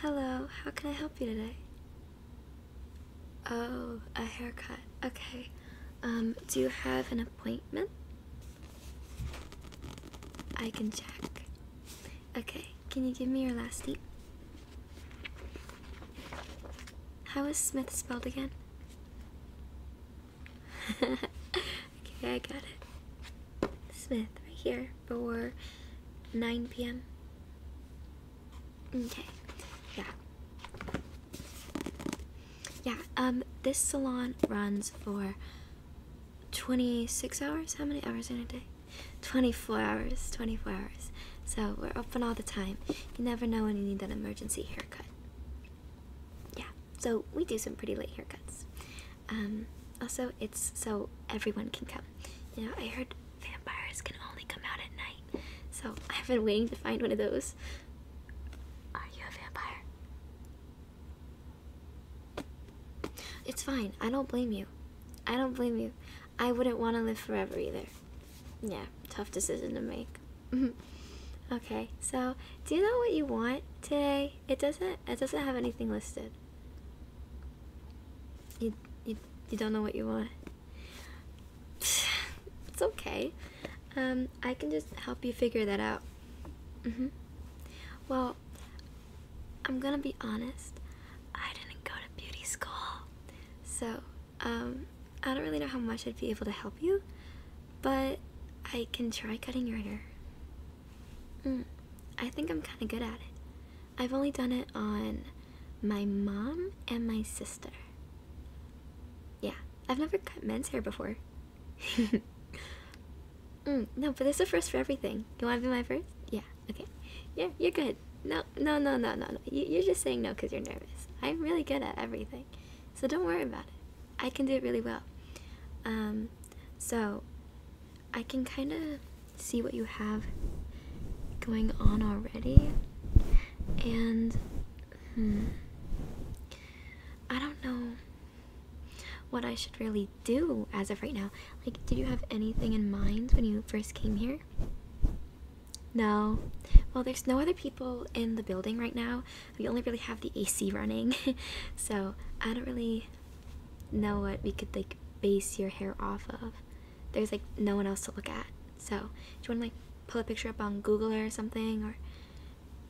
Hello, how can I help you today? Oh, a haircut. Okay. Um, do you have an appointment? I can check. Okay, can you give me your last name? How is Smith spelled again? okay, I got it. Smith, right here or 9 p.m. Okay, yeah. Yeah, um, this salon runs for 26 hours? How many hours in a day? 24 hours, 24 hours. So we're open all the time. You never know when you need that emergency haircut. Yeah, so we do some pretty late haircuts. Um, also, it's so everyone can come. You know, I heard vampires can only come out at night, so I've been waiting to find one of those. Are you a vampire? It's fine. I don't blame you. I don't blame you. I wouldn't want to live forever either. Yeah, tough decision to make. okay, so do you know what you want today? It doesn't. It doesn't have anything listed. You you you don't know what you want. It's okay. Um, I can just help you figure that out. Mhm. Mm well, I'm gonna be honest. I didn't go to beauty school, so um, I don't really know how much I'd be able to help you, but I can try cutting your hair. Mm, I think I'm kind of good at it. I've only done it on my mom and my sister. Yeah, I've never cut men's hair before. mm, no, but there's a first for everything. You want to be my first? Yeah, okay. Yeah, you're good. No, no, no, no, no, no. You, you're just saying no because you're nervous. I'm really good at everything. So don't worry about it. I can do it really well. Um, so I can kind of see what you have going on already, and hmm, I don't know what I should really do as of right now. Like, did you have anything in mind when you first came here? No. Well, there's no other people in the building right now. We only really have the AC running, so I don't really know what we could like base your hair off of. There's like no one else to look at. So, do you want to like pull a picture up on Google or something or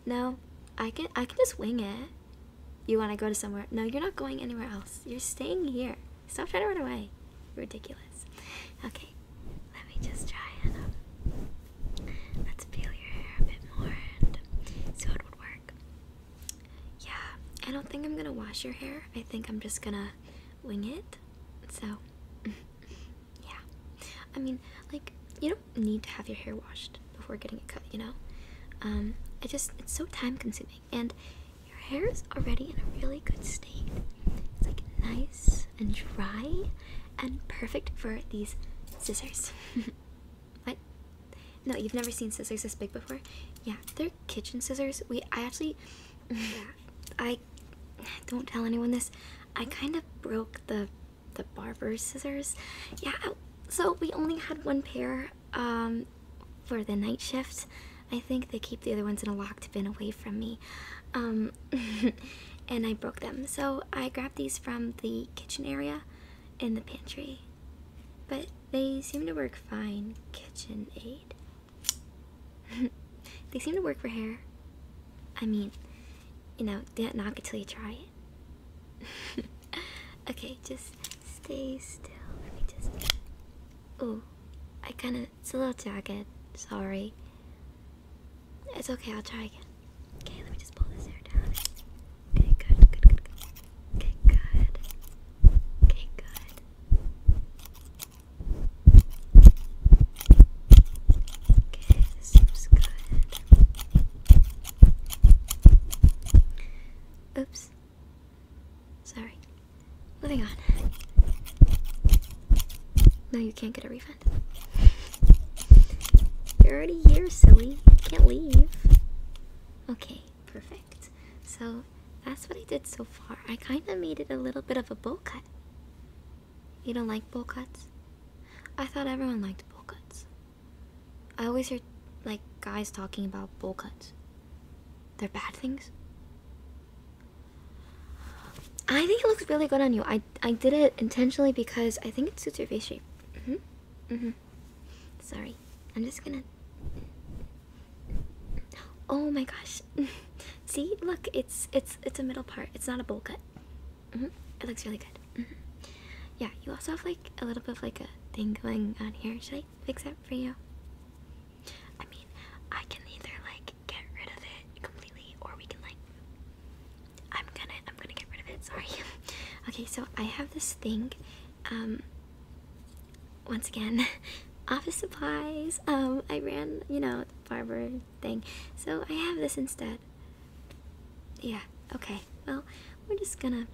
No, I can I can just wing it. You want to go to somewhere? No, you're not going anywhere else. You're staying here. Stop trying to run away. Ridiculous. Okay. Let me just try and um, let's peel your hair a bit more and work. Yeah, I don't think I'm gonna wash your hair. I think I'm just gonna wing it. So, yeah. I mean, like, you don't need to have your hair washed before getting it cut, you know? Um, I just, it's so time consuming. And your hair is already in a really good state. It's like nice and dry and perfect for these scissors. What? No, you've never seen scissors this big before? Yeah, they're kitchen scissors. We, I actually, yeah, I don't tell anyone this. I kind of broke the the barber's scissors. Yeah, so we only had one pair um, for the night shift. I think they keep the other ones in a locked bin away from me. Um, and I broke them. So I grabbed these from the kitchen area in the pantry, but they seem to work fine. Kitchen aid. they seem to work for hair. I mean, you know, don't knock it till you try it. okay, just stay still. Let me just. Oh, I kind of. It's a little jagged. Sorry. It's okay, I'll try again. Okay, let me just pull this hair down. Okay, good, good, good, good. Okay, good. Okay, good. Okay, this seems good. Oops. Sorry. Moving on. No, you can't get a you're already here, silly. can't leave. Okay, perfect. So that's what I did so far. I kind of made it a little bit of a bowl cut. You don't like bowl cuts? I thought everyone liked bowl cuts. I always hear like guys talking about bowl cuts. They're bad things. I think it looks really good on you. I, I did it intentionally because I think it suits your face shape shape. Mhm. Mm mhm. Sorry. I'm just going to Oh my gosh. See? Look, it's it's it's a middle part. It's not a bowl cut. Mhm. Mm it looks really good. Mm -hmm. Yeah, you also have like a little bit of like a thing going on here. Should I fix that for you? I mean, I can either like get rid of it completely or we can like I'm gonna I'm gonna get rid of it. Sorry. okay, so I have this thing. Um, once again, office supplies. Um, I ran you know the barber thing, so I have this instead. Yeah. Okay. Well, we're just gonna.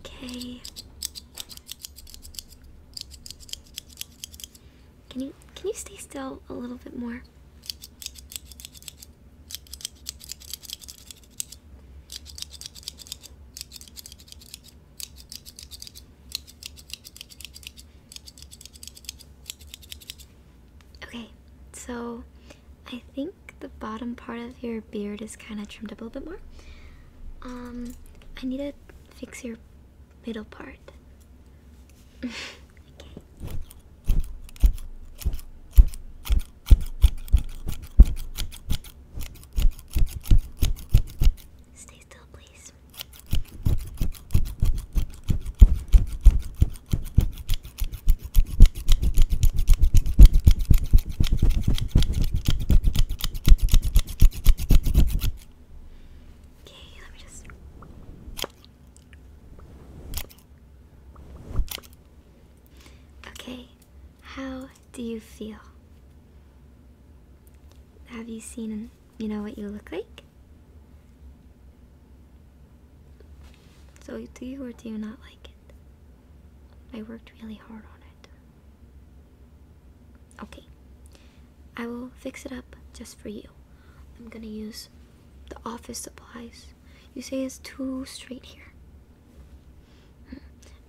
Okay. Can you can you stay still a little bit more? Okay, so I think the bottom part of your beard is kind of trimmed up a little bit more. Um, I need to fix your middle part. Stay still, please. Okay, let me just. Okay, how do you feel? Have you seen, you know, what you look like? So, do you or do you not like it? I worked really hard on it. Okay, I will fix it up just for you. I'm gonna use the office supplies. You say it's too straight here.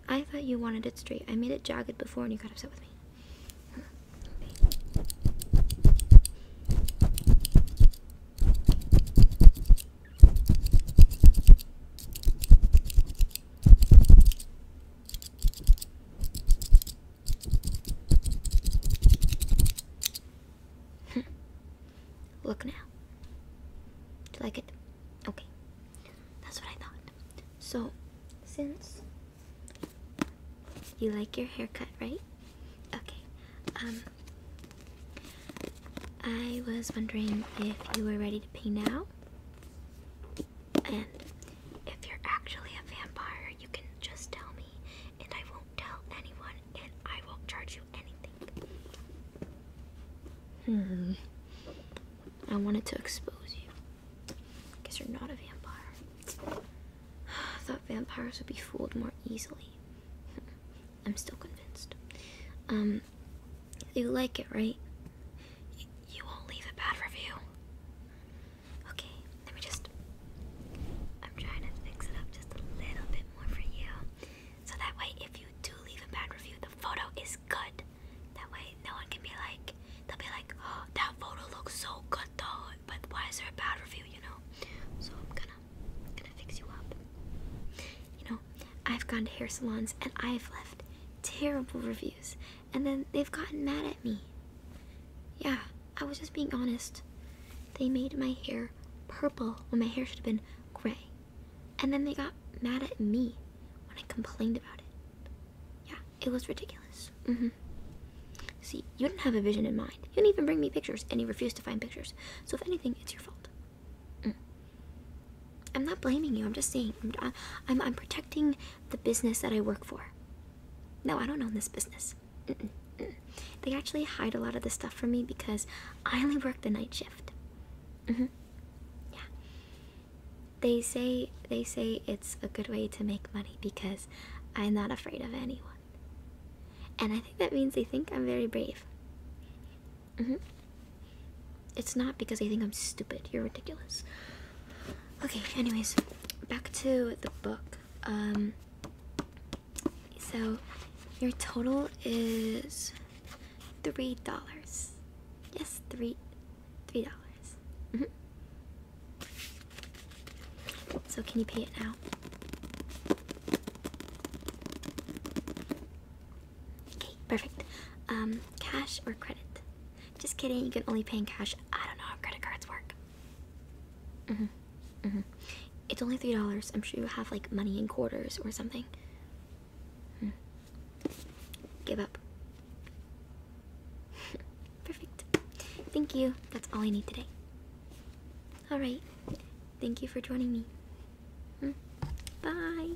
I thought you wanted it straight. I made it jagged before and you got upset with me. Hmm. Look now. Do you like it? Okay. That's what I thought. So, since you like your haircut, right? Okay. Um, I was wondering if you were ready to pay now. And if you're actually a vampire, you can just tell me, and I won't tell anyone, and I won't charge you anything. Hmm. I wanted to expose you. Guess you're not a vampire. I thought vampires would be fooled more easily. I'm still convinced. Um, you like it, right? You won't leave a bad review. Okay, let me just. I'm trying to fix it up just a little bit more for you. So that way, if you do leave a bad review, the photo is good. That way, no one can be like, they'll be like, oh, that photo looks so good though, but why is there a bad review, you know? So I'm gonna, gonna fix you up. You know, I've gone to hair salons and I've left terrible reviews and then they've gotten mad at me. Yeah, I was just being honest. They made my hair purple when my hair should have been gray. And then they got mad at me when I complained about it. Yeah, it was ridiculous. Mm hmm. See, you didn't have a vision in mind. You didn't even bring me pictures, and you refused to find pictures. So, if anything, it's your fault. Mm. I'm not blaming you. I'm just saying I'm, I'm, protecting the business that I work for. No, I don't own this business. They actually hide a lot of the stuff from me because I only work the night shift. Mm-hmm. Yeah. They say they say it's a good way to make money because I'm not afraid of anyone. And I think that means they think I'm very brave. Mm -hmm. It's not because I think I'm stupid. You're ridiculous. Okay, anyways, back to the book. Um so your total is three dollars. Yes, three three dollars. Mm -hmm. So can you pay it now? Okay, perfect. Um, cash or credit? Just kidding, you can only pay in cash. I don't know how credit cards work. Mm-hmm. Mm-hmm. It's only three dollars. I'm sure you have like money in quarters or something. Hmm. Give up. Perfect. Thank you. That's all I need today. Alright. Thank you for joining me. Hmm. Bye.